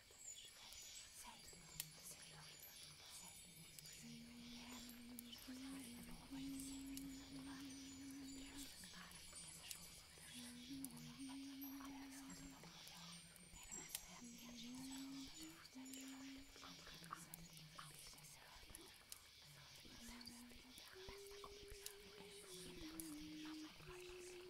Bästa kompis. Inte ens din mamma är på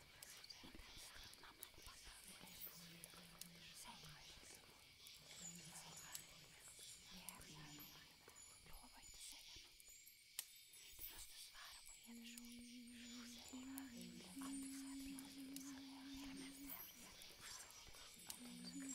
Lova inte säga något. Du måste svära på hedersord. Säg aldrig säga Det är det mest hemliga. Aldrig, aldrig, aldrig säga till mig.